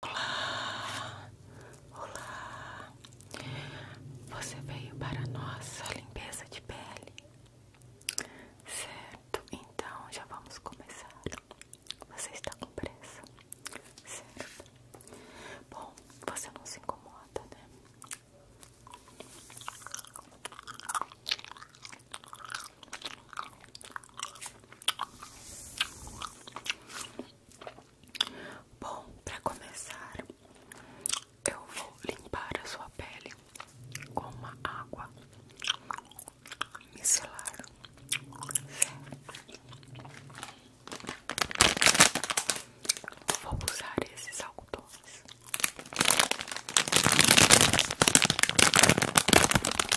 Olá, olá. Você veio para a nossa limpeza de pele, certo? Então já vamos começar. Você está com pressa, certo? Bom, você não se incomoda, né? Bom, para começar, eu vou limpar a sua pele com uma água micelar. Vou usar esses algodões.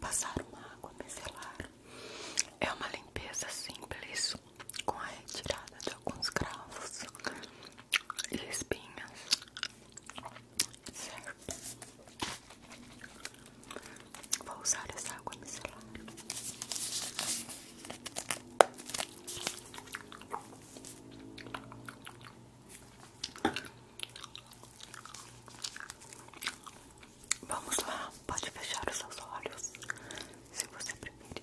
Passar uma água micelar é uma limpeza simples com a retirada de alguns cravos e espinhas, certo? Vou usar essa água micelar. Vamos lá, pode fechar os seus olhos se você preferir.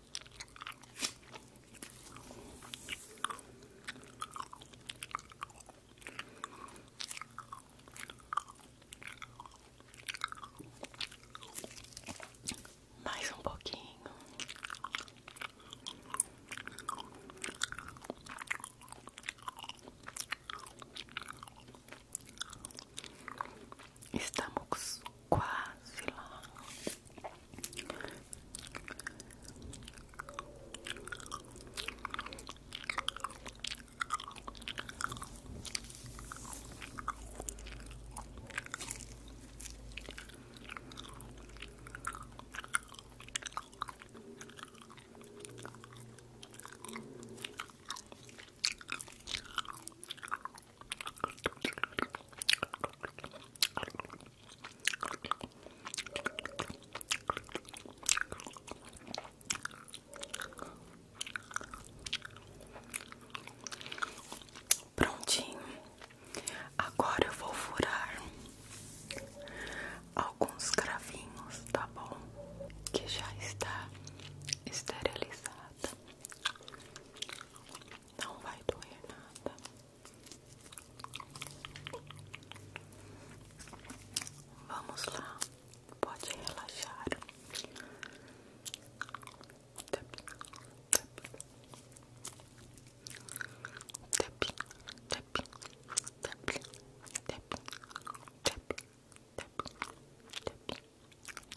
Mais um pouquinho. Estamos quase lá. Prontinho, agora eu vou furar alguns cravinhos, tá bom? Que já está esterilizada. Não vai doer nada. Vamos lá, pode relaxar. Tap, tap. Tap, tap, tap, tap, tap,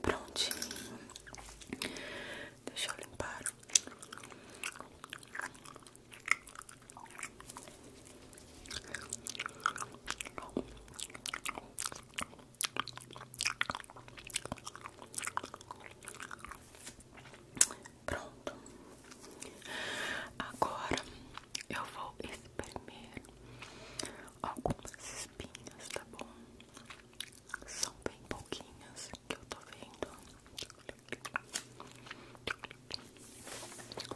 Prontinho. Deixa eu limpar. Pronto. Agora eu vou espremer algumas pinhas, tá bom? São bem pouquinhas que eu tô vendo.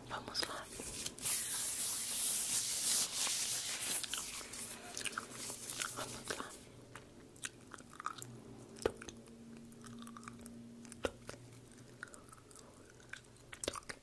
Vamos lá. Vamos lá. toc, toc,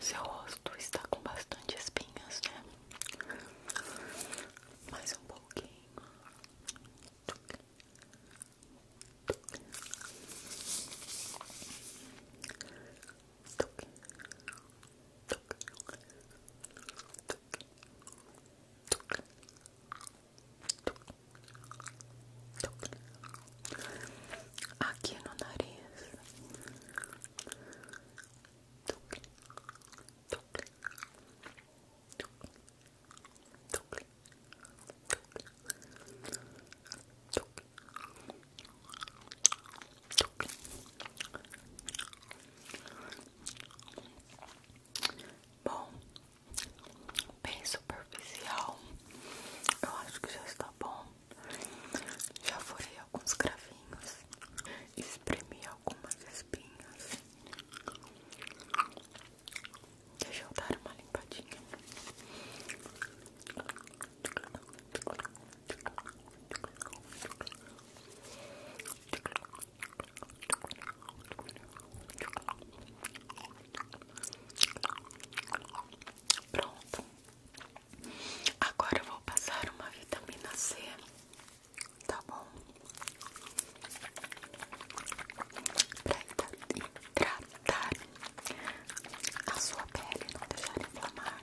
Seu rosto está com bastante espinhas, né? Mais um pouquinho. toque, toque, aquí en la nariz, Bom, bem superficial. Eu acho que já está bom. Já furei alguns cravinhos, espremi algumas espinhas. Deixa eu dar uma limpadinha. Pronto. Agora eu vou passar uma vitamina C. Tá bom? Pra tratar a sua pele não deixar inflamar.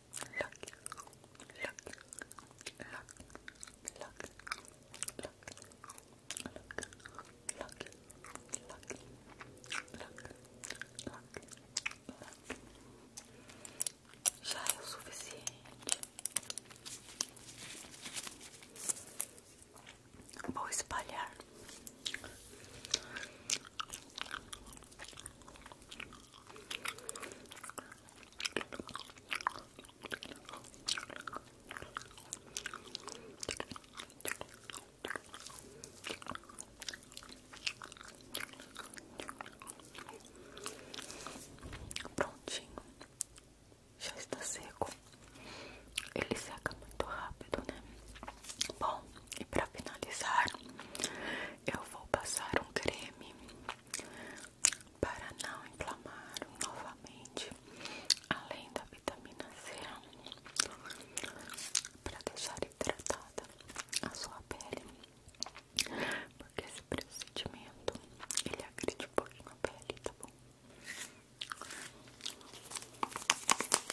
look, look, look, look, look, look, look, look, já é o suficiente. Vou espalhar Prontinho, já está seco. Ele seca muito rápido, né? Bom, e para finalizar, eu vou passar um creme para não inflamar novamente, além da vitamina C, para deixar hidratada a sua pele, porque esse procedimento ele agride um pouquinho a pele, tá bom?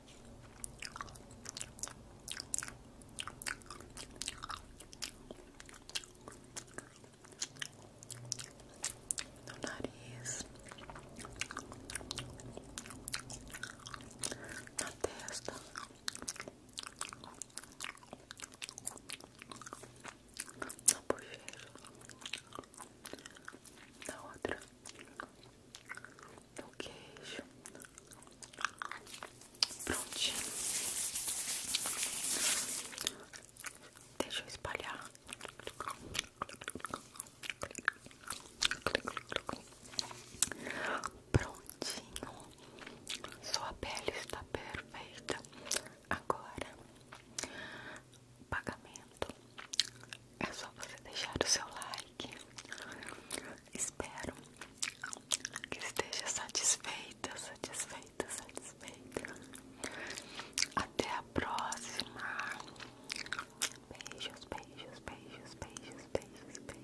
no nariz, na testa, na bochecha, na outra no queijo. Prontinho. Deixa eu espalhar. Prontinho. Sua pele está perfeita. Agora, pagamento. É só você deixar o seu like Espero que esteja satisfeita, satisfeita, satisfeita. Até a próxima. Beijos, beijos, beijos, beijos, beijos, beijos.